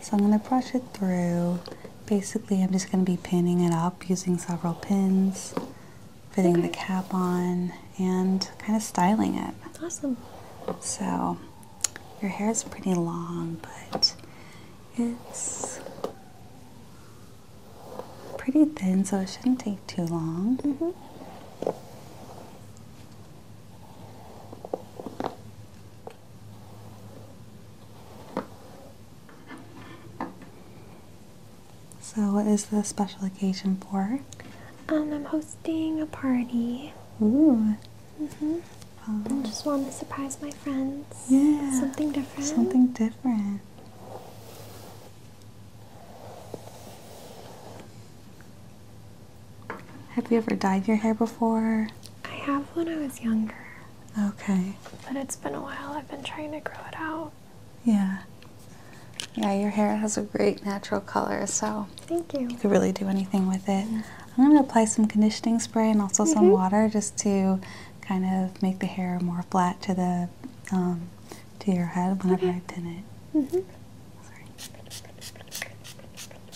So I'm going to brush it through. Basically, I'm just going to be pinning it up using several pins, fitting the cap on, and kind of styling it. Awesome. So your hair is pretty long, but it's pretty thin, so it shouldn't take too long. Mm-hmm. So, what is the special occasion for? Um, I'm hosting a party. Ooh. Mm-hmm. I oh. Just want to surprise my friends. Yeah. Something different. Something different. Have you ever dyed your hair before? I have when I was younger. Okay. But it's been a while. I've been trying to grow it out. Yeah. Yeah, your hair has a great natural color, so. Thank you. You could really do anything with it. Mm-hmm. I'm going to apply some conditioning spray and also some mm-hmm. water just to kind of make the hair more flat to the um, to your head whenever I pin it. Mm-hmm. Sorry.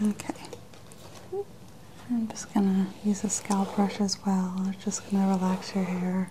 Okay. I'm just gonna use a scalp brush as well. It's just gonna relax your hair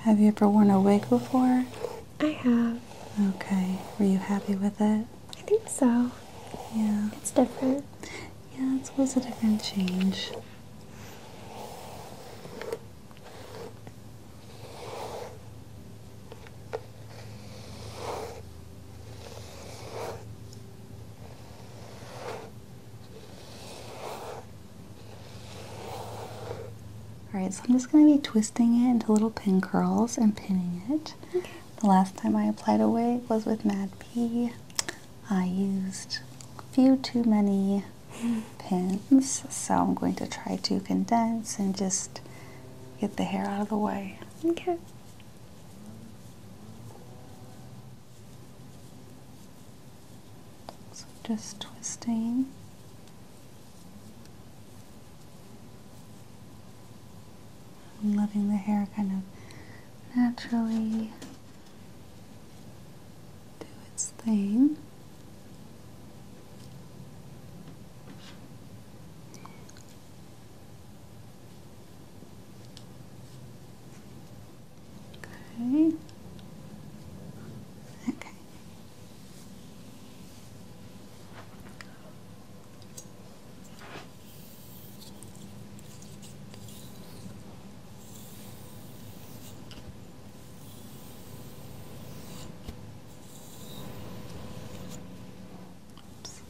Have you ever worn a wig before? I have. Okay. Were you happy with it? I think so. Yeah. It's different. Yeah, it was a different change. Alright, so I'm just going to be twisting it into little pin curls and pinning it. The last time I applied a wig was with Mad P. I used a few too many pins, so I'm going to try to condense and just get the hair out of the way. Okay. So just twisting. letting the hair kind of naturally do its thing. Okay. Okay. Oops.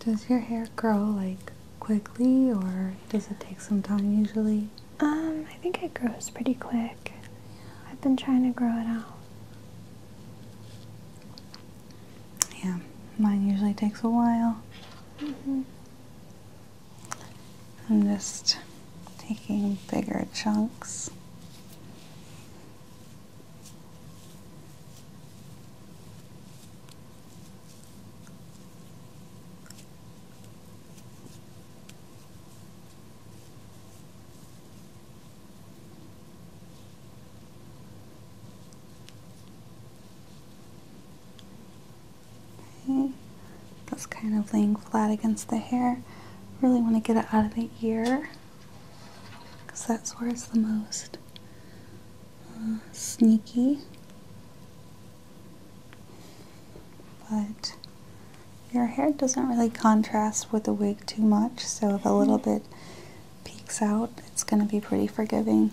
Does your hair grow like quickly or does it take some time usually? Um, I think it grows pretty quick. I've been trying to grow it out. Yeah, mine usually takes a while. Mm-hmm. I'm just taking bigger chunks. Okay. That's kind of laying flat against the hair. Really want to get it out of the ear because that's where it's the most uh, sneaky. But your hair doesn't really contrast with the wig too much, so a little mm-hmm. bit peeks out, it's going to be pretty forgiving.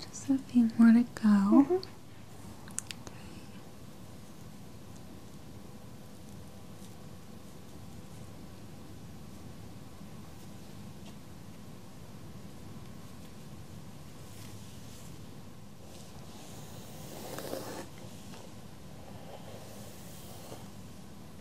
Just a few more to go. Mm-hmm.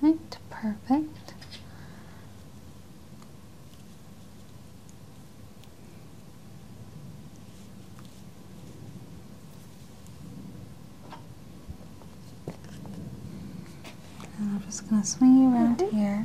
Right, perfect. And I'm just going to swing you around here.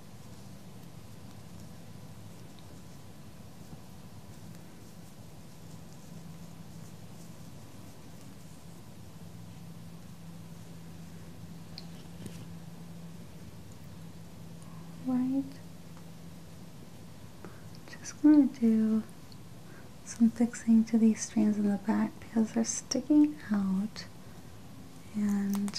Right. Just gonna do some fixing to these strands in the back because they're sticking out and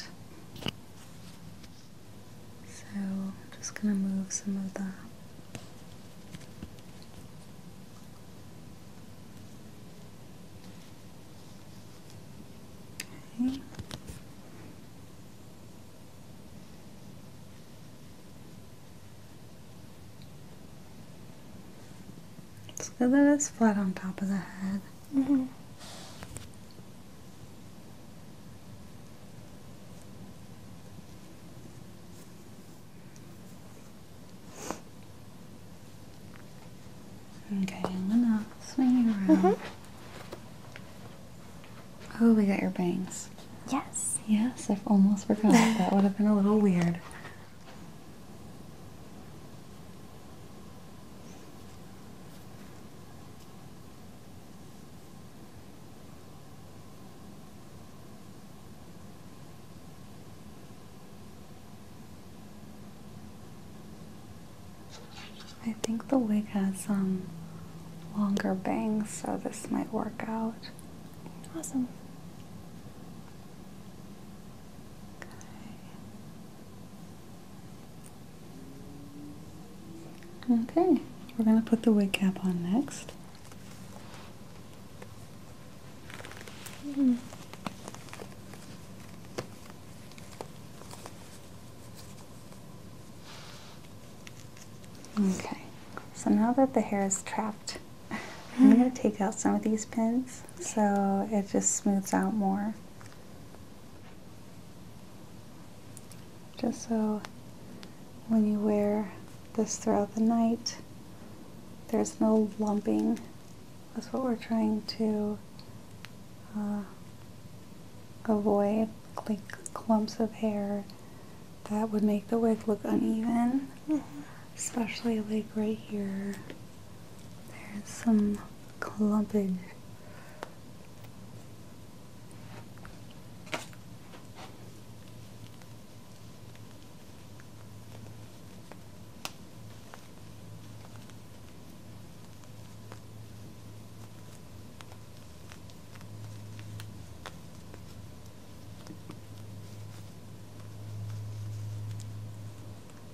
so I'm just going to move some of the okay. So that it's flat on top of the head. Okay, mm-hmm. I'm gonna swing you around. Mm-hmm. Oh, we got your bangs. Yes. Yes, I've almost forgotten. that would have been a little weird. I think the wig has some um, longer bangs, so this might work out. Awesome. Okay. Okay, we're going to put the wig cap on next. Okay, so now that the hair is trapped, I'm going to hmm. take out some of these pins so it just smooths out more. Just so when you wear this throughout the night, there's no lumping. That's what we're trying to uh, avoid, like clumps of hair that would make the wig look uneven, mm-hmm. especially like right here. There's some clumping.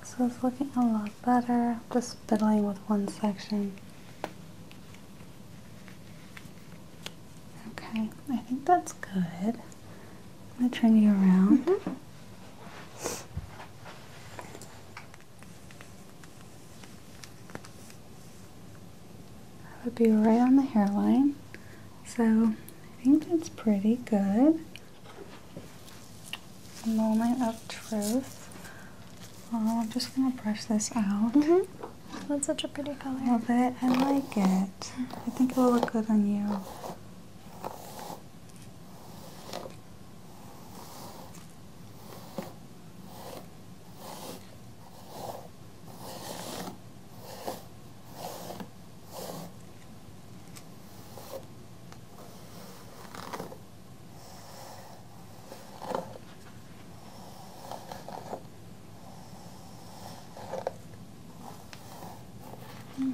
This is looking a lot better. Just fiddling with one section. Okay, I think that's good. I'm going to turn you around. Mm-hmm. That would be right on the hairline. So I think that's pretty good. Moment of Truth. Oh, I'm just gonna brush this out. Mm-hmm. That's such a pretty color. Love it. I like it. I think it will look good on you.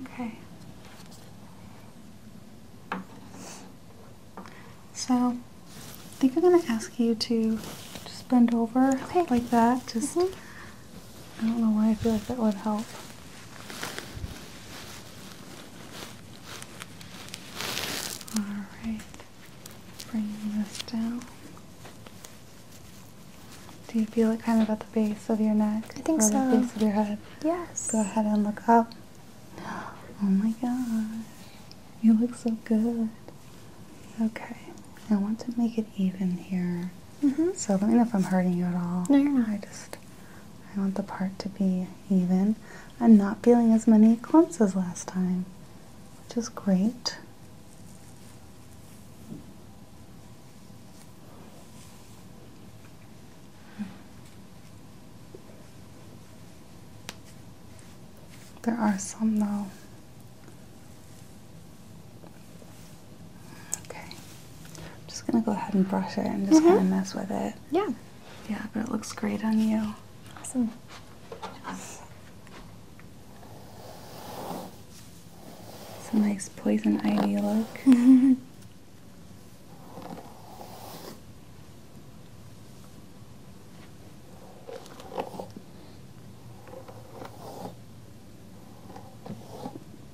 Okay. So, I think I'm going to ask you to just bend over like that. Just, mm-hmm. I don't know why I feel like that would help. Alright, bring this down. Do you feel it kind of at the base of your neck? or the base of your head? Yes. Go ahead and look up. Oh my gosh. You look so good. Okay, I want to make it even here. Mm-hmm. So let me know if I'm hurting you at all. No, you're not. I just I want the part to be even. I'm not feeling as many clumps as last time, which is great. There are some now. Okay. I'm just going to go ahead and brush it and just kind of mm-hmm. mess with it. Yeah. Yeah, but it looks great on you. Awesome. Yes. It's a nice poison ivy look. Mm-hmm.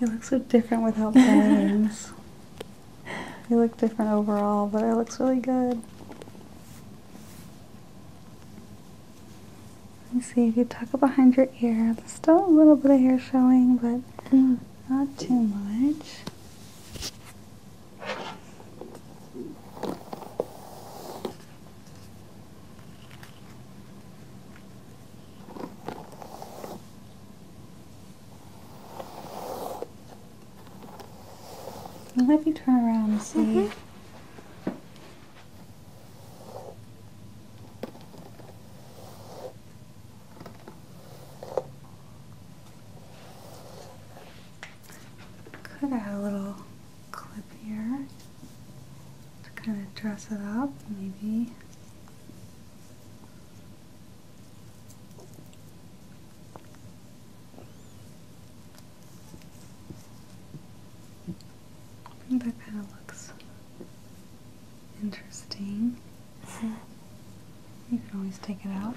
You look so different without bangs. you look different overall, but it looks really good. Let me see if you tuck it behind your ear. There's still a little bit of hair showing, but mm. not too much let me turn around see. Mm-hmm. Could have a little clip here to kind of dress it up, maybe. I think that looks interesting. you can always take it out.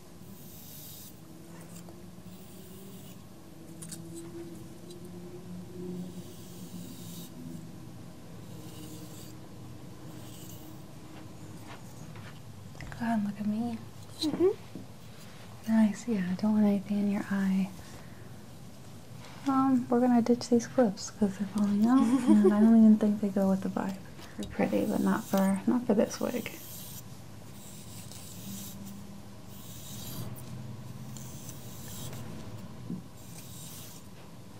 Go ahead and look at me. -hmm. Nice, yeah, I don't want anything in your eye. Um, we're gonna ditch these clips because they're falling out, and I don't even think they go with the vibe. They're pretty, but not for not for this wig.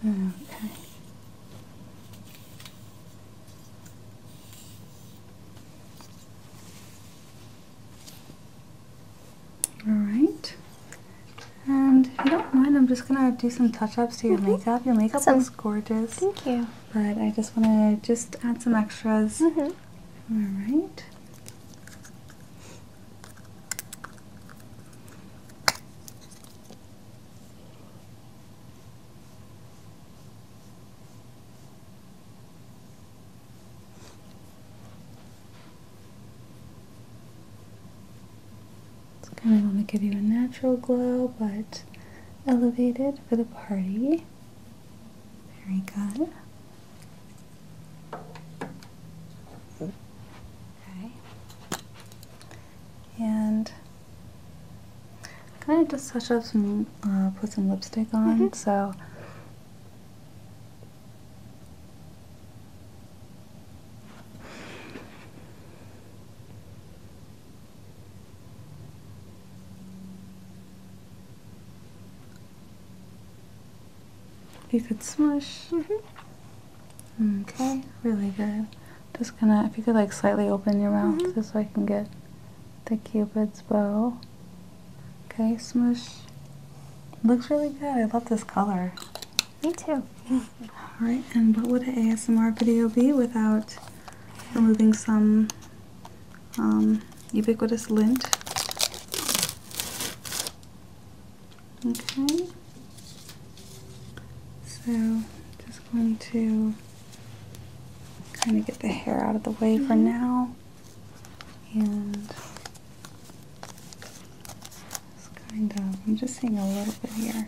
Okay. All right. And if you don't mind, I'm just gonna do some touch-ups to your mm-hmm. makeup. Your makeup looks gorgeous. Thank you. But I just wanna just add some extras. Mm-hmm. All right. It's kind of going to give you a natural glow, but elevated for the party. Very good. Okay. And kind of just touch up some, uh, put some lipstick on. Mm-hmm. So. You could smush. Mm-hmm. Okay, really good. Just gonna, if you could like slightly open your mouth mm-hmm. so I can get the cupid's bow. Okay, smush. Looks really good. I love this color. Me too. Alright, and what would an ASMR video be without removing some um, ubiquitous lint. Okay, so just going to kind of get the hair out of the way for mm-hmm. now, and kind of I'm just seeing a little bit here.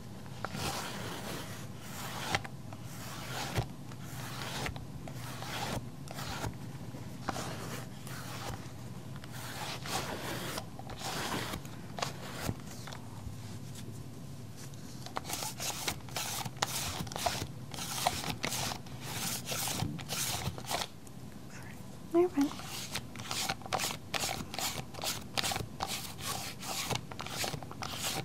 Never mind.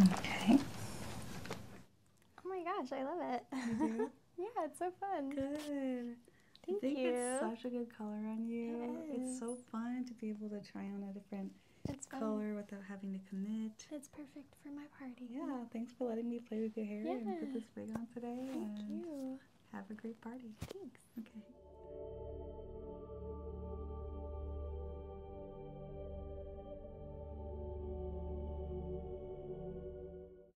Okay. Oh my gosh, I love it. Yeah, it's so fun. Good. Thank you. it's such a good color on you. it's so fun to be able to try on a different color without having to commit. It's perfect for my party. Yeah, thanks for letting me play with your hair and put this wig on today. Thank and you. Have a great party. Thanks. Okay.